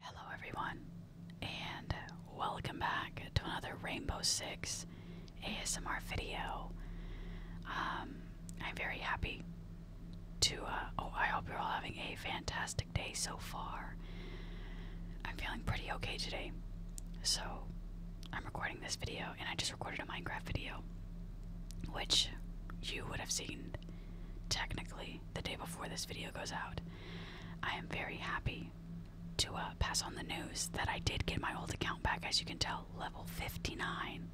Hello, everyone, and welcome back to another Rainbow Six ASMR video. Um, I'm very happy to. Uh, oh, I hope you're all having a fantastic day so far. I'm feeling pretty okay today, so I'm recording this video, and I just recorded a Minecraft video, which you would have seen technically the day before this video goes out. I am very happy to uh, pass on the news that I did get my old account back, as you can tell, level 59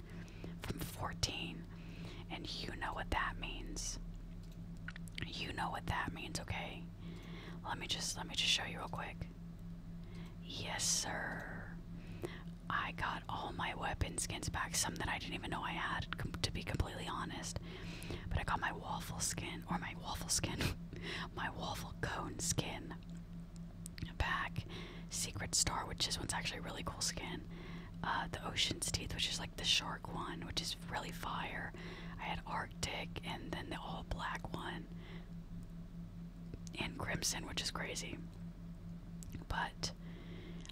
from 14. And you know what that means. You know what that means, okay? Let me just let me just show you real quick. Yes, sir. I got all my weapon skins back, some that I didn't even know I had, to be completely honest. But I got my waffle skin, or my waffle skin, my waffle cone skin back. Secret Star, which this one's actually really cool skin. Uh, the Ocean's Teeth, which is like the shark one, which is really fire. I had Arctic, and then the all black one, and Crimson, which is crazy. But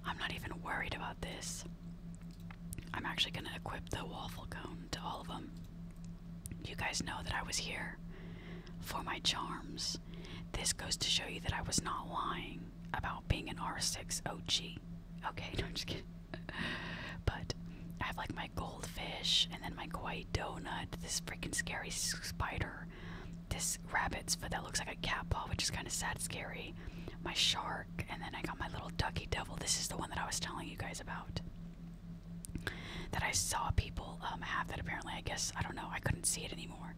I'm not even worried about this. I'm actually going to equip the waffle cone to all of them. You guys know that I was here for my charms. This goes to show you that I was not lying about being an R6 OG. Okay, no, I'm just kidding. but I have like my goldfish and then my kawaii donut, this freaking scary spider, this rabbit's foot that looks like a cat paw, which is kind of sad, scary, my shark and then I got my little ducky devil. This is the one that I was telling you guys about. That I saw people um, have that apparently, I guess, I don't know, I couldn't see it anymore.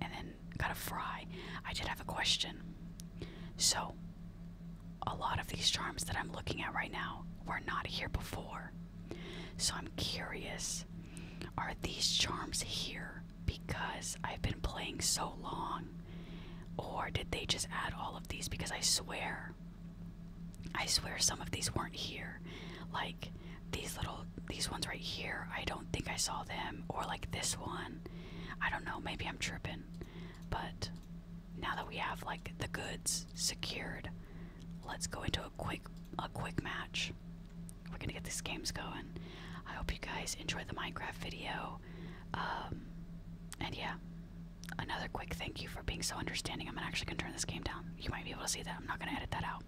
And then got a fry. I did have a question. So, a lot of these charms that I'm looking at right now were not here before. So, I'm curious are these charms here because I've been playing so long? Or did they just add all of these? Because I swear, I swear some of these weren't here. Like these little, these ones right here, I don't think I saw them. Or like this one. I don't know, maybe I'm tripping. But now that we have like the goods secured, let's go into a quick a quick match. We're gonna get these games going. I hope you guys enjoy the Minecraft video. Um, and yeah another quick thank you for being so understanding i'm actually gonna turn this game down you might be able to see that i'm not gonna edit that out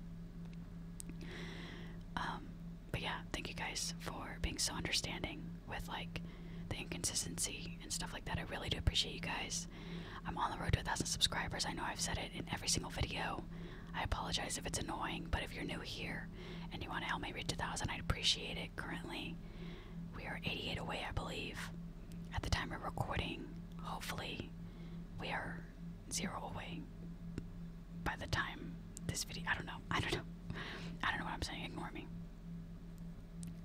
um, but yeah thank you guys for being so understanding with like the inconsistency and stuff like that i really do appreciate you guys i'm on the road to a thousand subscribers i know i've said it in every single video i apologize if it's annoying but if you're new here and you want to help me reach a thousand i'd appreciate currently. We are 88 away, I believe. At the time of recording, hopefully, we are zero away by the time this video. I don't know. I don't know. I don't know what I'm saying. Ignore me.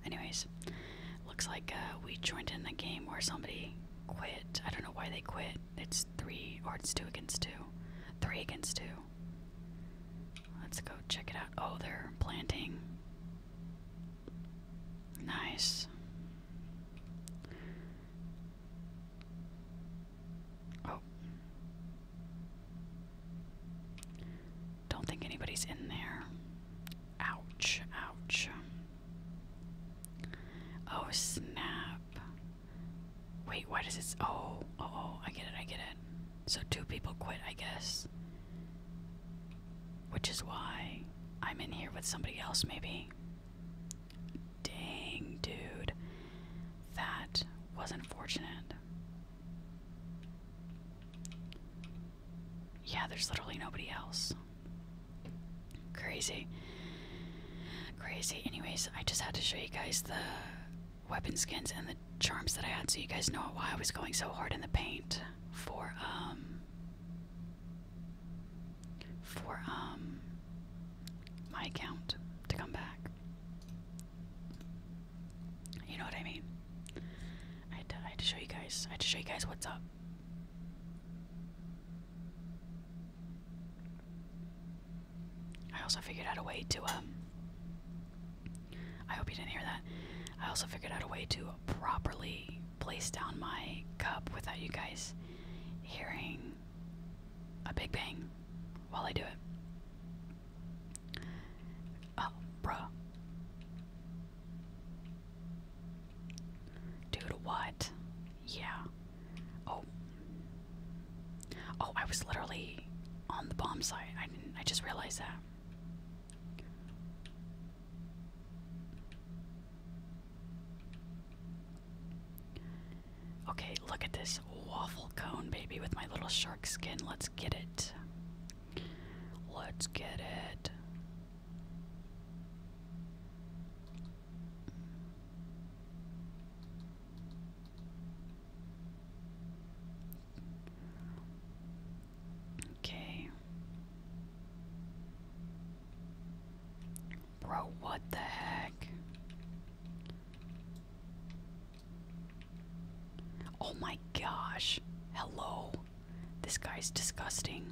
Anyways, looks like uh, we joined in the game where somebody quit. I don't know why they quit. It's three or it's two against two. Three against two. Let's go check it out. Oh, they're planting. Nice. Oh. Don't think anybody's in there. Ouch, ouch. Oh, snap. Wait, why does it? Oh, oh, oh, I get it, I get it. So two people quit, I guess. Which is why I'm in here with somebody else, maybe. Dang, dude, that was not fortunate. Yeah, there's literally nobody else. Crazy. Crazy. Anyways, I just had to show you guys the weapon skins and the charms that I had so you guys know why I was going so hard in the paint for um for um my account to come back. You know what I mean? I had to, I had to show you guys. I had to show you guys what's up. I also figured out a way to, um, I hope you didn't hear that. I also figured out a way to properly place down my cup without you guys hearing a big bang while I do it. Oh, bruh. Dude, what? Yeah. Oh, Oh, I was literally on the bomb site. I didn't I just realized that. Okay, look at this waffle cone, baby, with my little shark skin. Let's get it. Let's get it. Okay. Bro, what the heck? Oh my gosh. Hello. This guy's disgusting.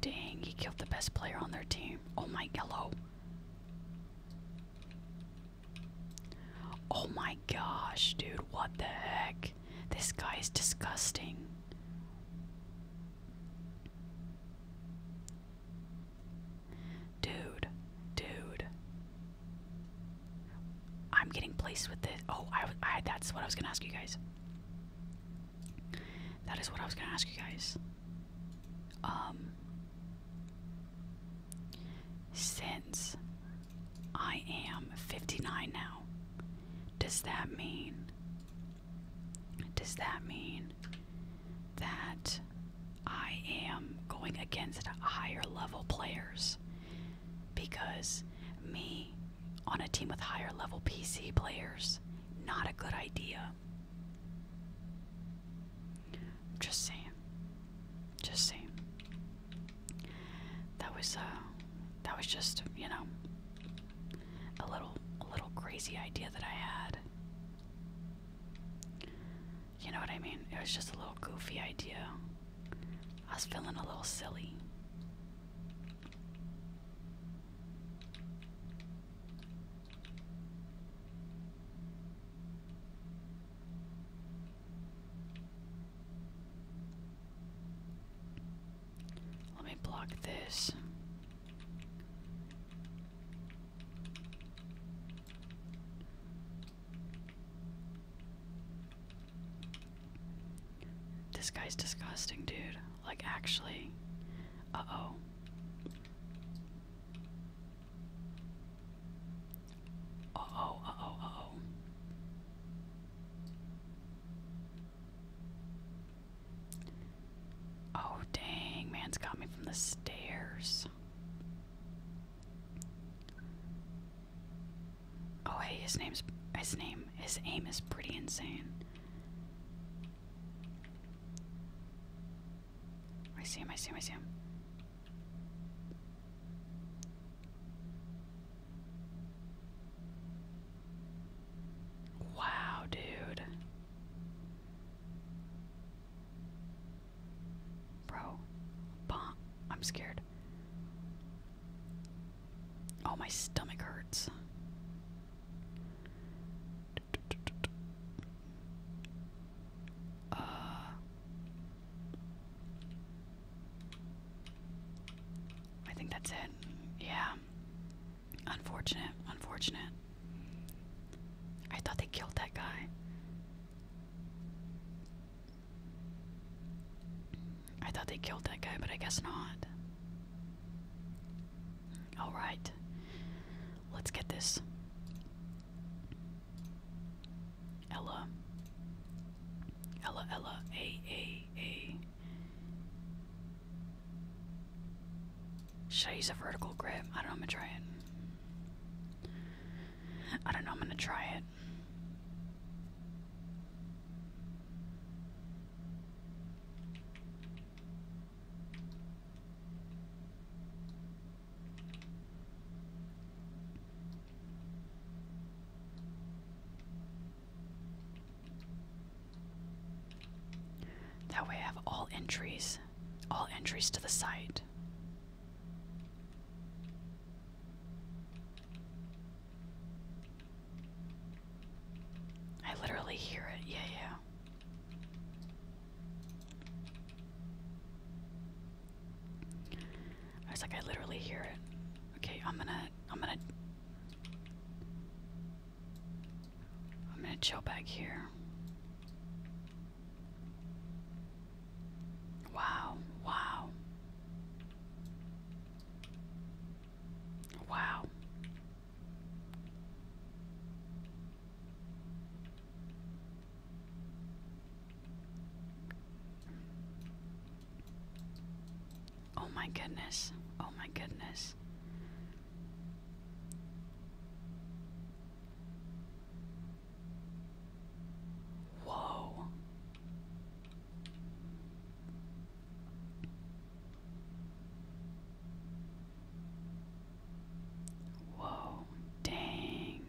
Dang, he killed the best player on their team. Oh my yellow. Oh my gosh, dude, what the heck? This guy's disgusting. Dude, dude. I'm getting placed with this. Oh, I that's what I was going to ask you guys. That is what I was gonna ask you guys. Um, since I am 59 now, does that mean? Does that mean that I am going against higher level players? Because me on a team with higher level PC players. Not a good idea. Just saying. Just saying. That was uh that was just, you know, a little little crazy idea that I had. You know what I mean? It was just a little goofy idea. I was feeling a little silly. Let me block this. This guy's disgusting, dude. Like, actually. Uh oh. Uh oh, uh oh, uh oh. Oh, dang, man's got me from the stairs. Oh, hey, his name's. His name. His aim is pretty insane. I see him, I see him, I see him. Wow, dude. Bro, bomb. I'm scared. Oh, my stomach hurts. Uh, I think that's it. Yeah. Unfortunate. Unfortunate. I thought they killed that guy. I thought they killed that guy, but I guess not. Alright. Let's get this. Ella. Ella, Ella. A, A, A. Should I use a vertical grip? I don't know, I'm gonna try it. I don't know, I'm gonna try it. That way have all entries, all entries to the site. I literally hear it. Yeah, yeah. I was like, I literally hear it. Okay, I'm gonna, I'm gonna, I'm gonna chill back here. Wow, wow. Wow. Oh my goodness. Oh my goodness. Whoa. Whoa, dang.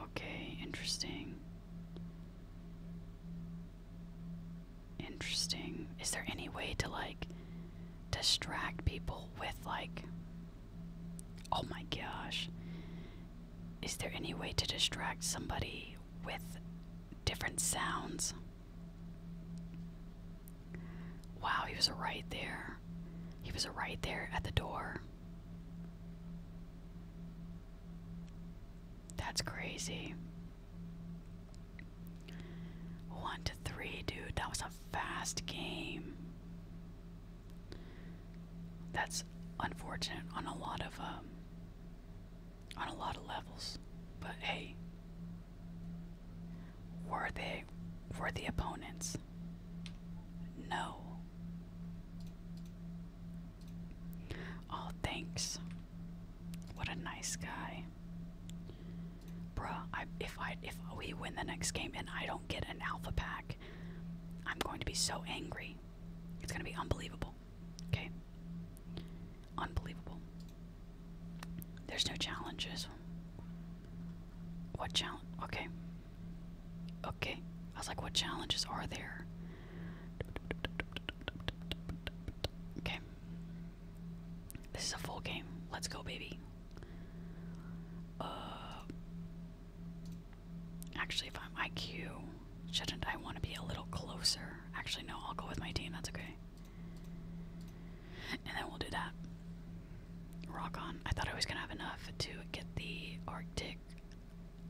Okay, interesting. Interesting. Is there any way to like distract people with like Oh my gosh. Is there any way to distract somebody with different sounds? Wow, he was right there. He was right there at the door. That's crazy. One to three, dude. That was a fast game. That's unfortunate on a lot of um, on a lot of levels, but hey, worthy they opponents? No. Oh, thanks. What a nice guy. Bruh, if I if we win the next game and I don't get an alpha pack, I'm going to be so angry. It's gonna be unbelievable. Okay. Unbelievable. There's no challenges. What challenge? Okay. Okay. I was like, what challenges are there? Okay. This is a full game. Let's go, baby. Uh, actually, if I'm IQ, shouldn't I want to be a little closer? Actually, no, I'll go with my team, that's okay. And then we'll do that. Rock on. I thought I was going to have enough to get the Arctic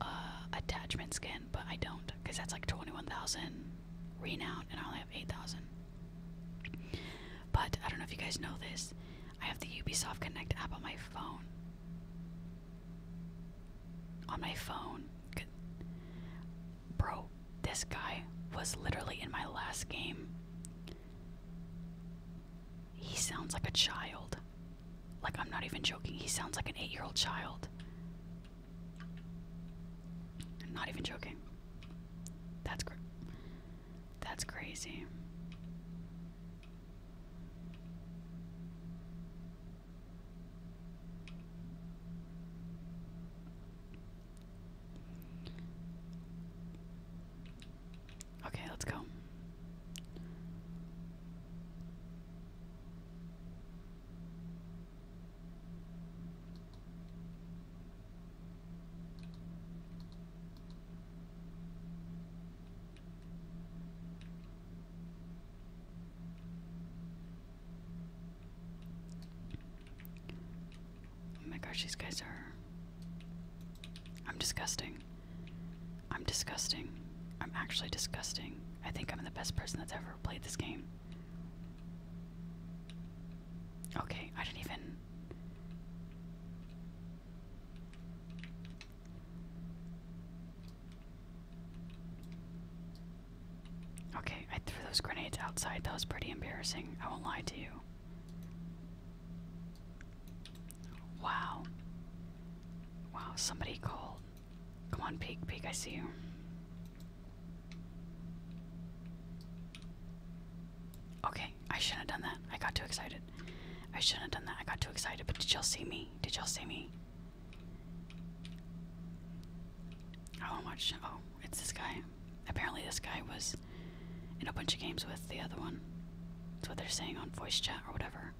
uh, attachment skin, but I don't, because that's like 21,000 renown, and I only have 8,000. But I don't know if you guys know this. I have the Ubisoft Connect app on my phone. On my phone. Bro, this guy was literally in my last game. He sounds like a child. Like, I'm not even joking. He sounds like an eight year old child. I'm not even joking. That's great. That's crazy. Okay, let's go. Oh my gosh, these guys are. I'm disgusting. I'm disgusting. I'm actually disgusting. I think I'm the best person that's ever played this game. Okay, I didn't even. Okay, I threw those grenades outside. That was pretty embarrassing. I won't lie to you. Wow. Wow, somebody called. Come on, Peek. Peek, I see you. Okay, I shouldn't have done that. I got too excited. I shouldn't have done that. I got too excited. But did y'all see me? Did y'all see me? Oh, I want to watch. Oh, it's this guy. Apparently, this guy was in a bunch of games with the other one. That's what they're saying on voice chat or whatever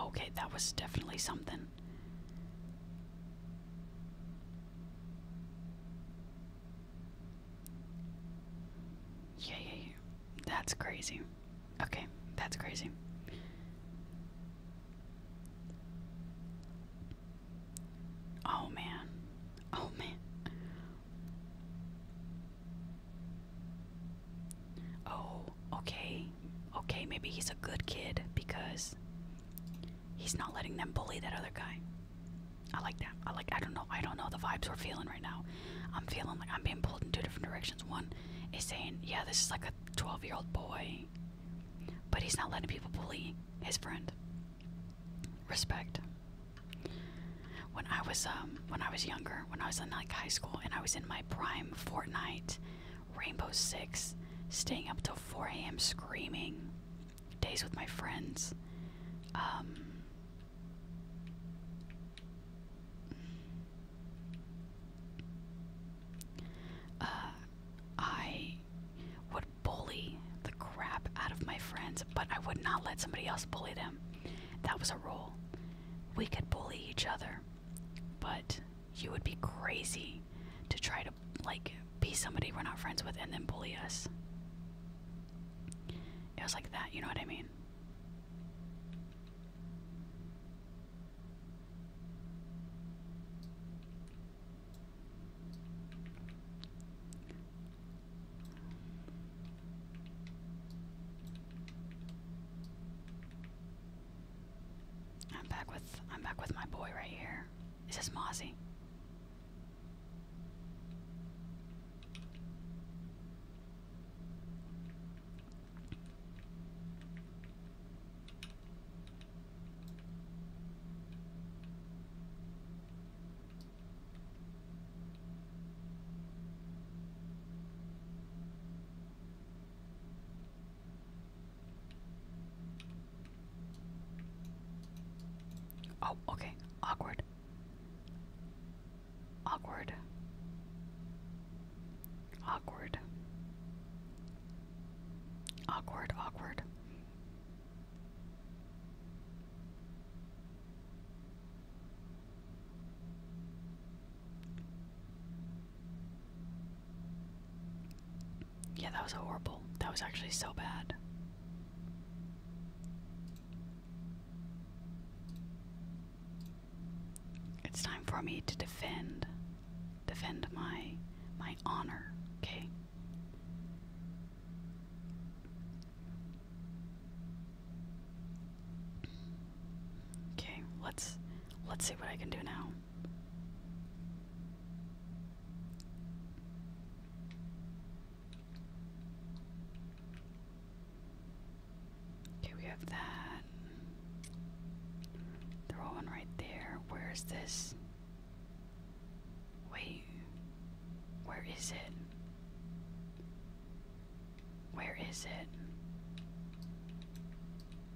okay, that was definitely something. Yeah, yeah, yeah. That's crazy. Okay, that's crazy. Oh man. Oh man. Oh, okay okay, maybe he's a good kid because he's not letting them bully that other guy. I like that. I like. I don't know. I don't know the vibes we're feeling right now. I'm feeling like I'm being pulled in two different directions. One is saying, yeah, this is like a 12 year old boy, but he's not letting people bully his friend. Respect. When I was um when I was younger, when I was in like high school and I was in my prime Fortnite Rainbow Six, staying up till 4 a.m. screaming, days with my friends. Um, uh, I would bully the crap out of my friends, but I would not let somebody else bully them. That was a rule. We could bully each other, but you would be crazy to try to like be somebody we're not friends with and then bully us. It was like that, you know what I mean? I'm back with I'm back with my boy right here. this is Mozzie? Oh, okay. Awkward. Awkward. Awkward. Awkward, awkward. Yeah, that was horrible. That was actually so bad. It's time for me to defend defend my my honor, okay? Okay, let's let's see what I can do now. Okay, we have that. They're right there. Where is this? Wait. Where is it? Where is it?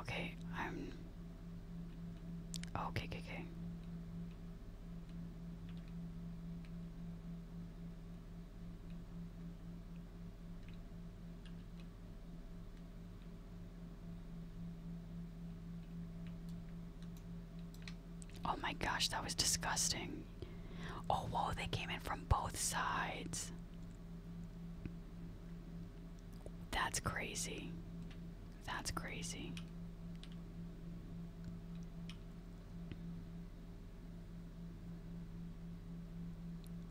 Okay, I'm. Oh, okay, okay, okay. Oh my gosh, that was disgusting. Oh, whoa, they came in from both sides. That's crazy. That's crazy.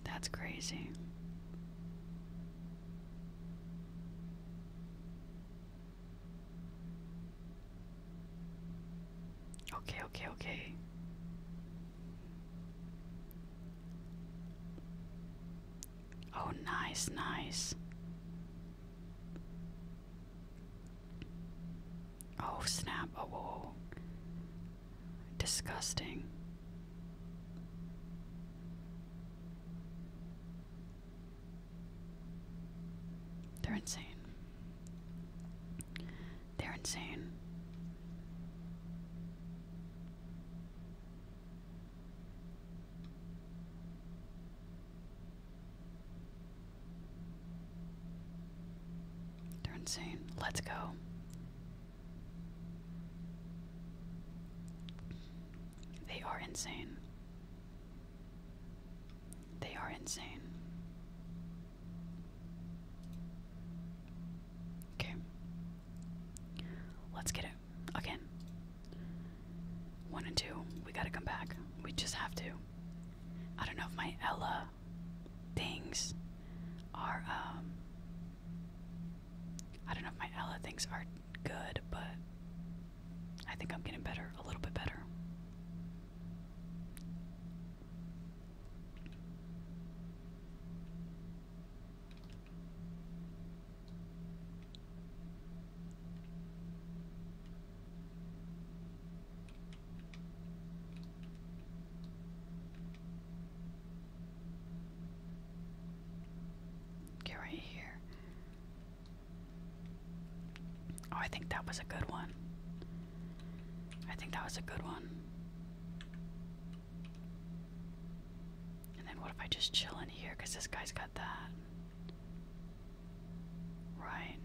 That's crazy. Okay, okay, okay. Oh, nice, nice. Oh, snap. Oh, oh. Disgusting. They're insane. They're insane. They're insane. Let's go. They are insane. They are insane. Okay. Let's get it again. One and two. We gotta come back. We just have to. I don't know if my Ella things are, um, I don't know if my Ella things are good, but I think I'm getting better, a little bit better. Get right here. Oh, I think that was a good one. I think that was a good one. And then what if I just chill in here? Because this guy's got that. Right.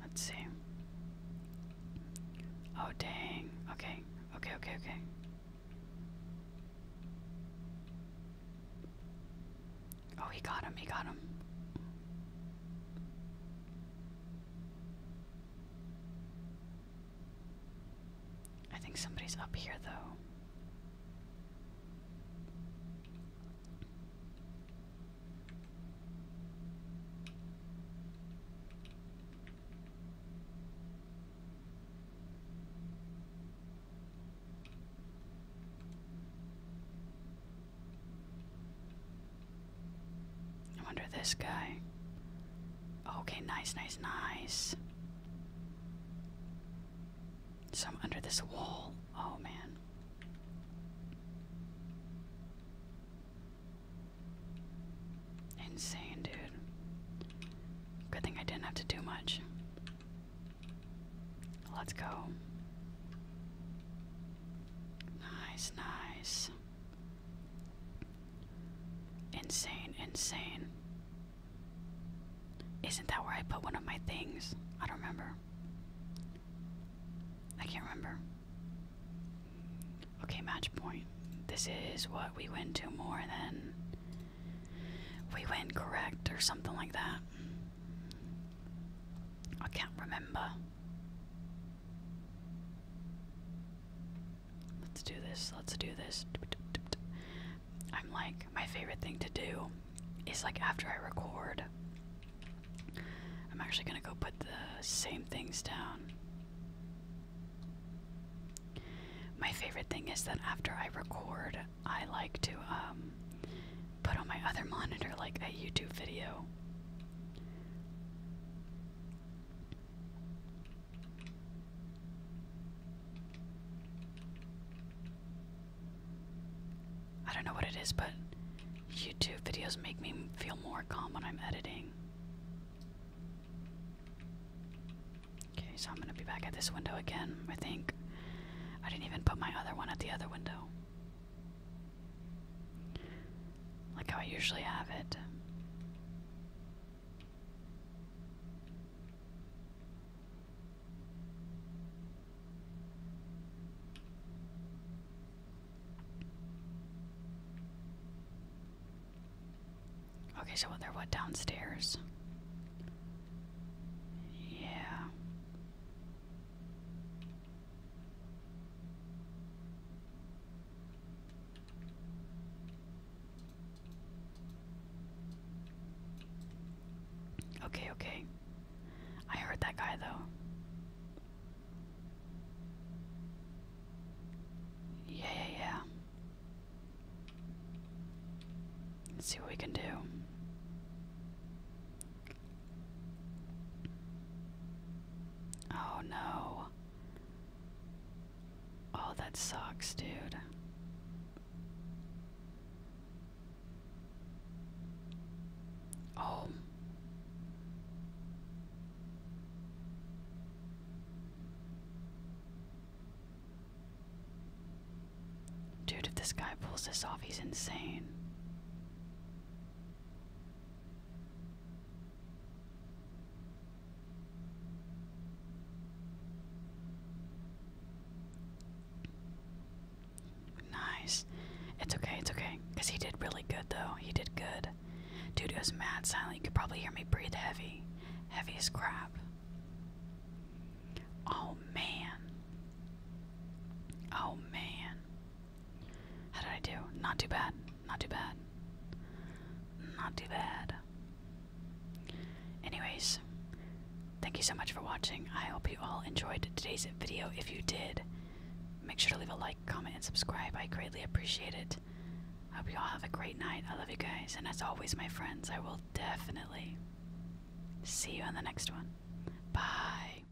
Let's see. Oh, dang. Okay, okay, okay, okay. Oh, he got him, he got him. I think somebody's up here, though. I wonder this guy. Okay, nice, nice, nice. So I'm under this wall. Oh man. Insane, dude. Good thing I didn't have to do much. Let's go. Nice, nice. Insane, insane. Isn't that where I put one of my things? I don't remember. I can't remember. Okay, match point. This is what we win to more than we win correct or something like that. I can't remember. Let's do this. Let's do this. I'm like, my favorite thing to do is like after I record, I'm actually going to go put the same things down. My favorite thing is that after I record, I like to um, put on my other monitor like a YouTube video I don't know what it is, but YouTube videos make me feel more calm when I'm editing. Okay, so I'm gonna be back at this window again, I think. I didn't even put my other one at the other window like how I usually have it. Okay, so what they're what downstairs? Yeah. Okay, okay. I heard that guy though. Yeah, yeah, yeah. see what we can do. Oh no. Oh, that sucks, dude. Oh. Dude, if this guy pulls this off, he's insane. Nice. It's okay, it's okay. Because he did really good, though. He did good. Dude, it was mad silent. You could probably hear me breathe heavy. Heavy as crap. Oh, man. Oh, man. How did I do? Not too bad. Not too bad. Not too bad. Anyways, thank you so much for watching. I hope you all enjoyed today's video. If you did, make sure to leave a like, comment, and subscribe. I greatly appreciate it. I hope you all have a great night. I love you guys. And as always, my friends, I will definitely see you on the next one. Bye.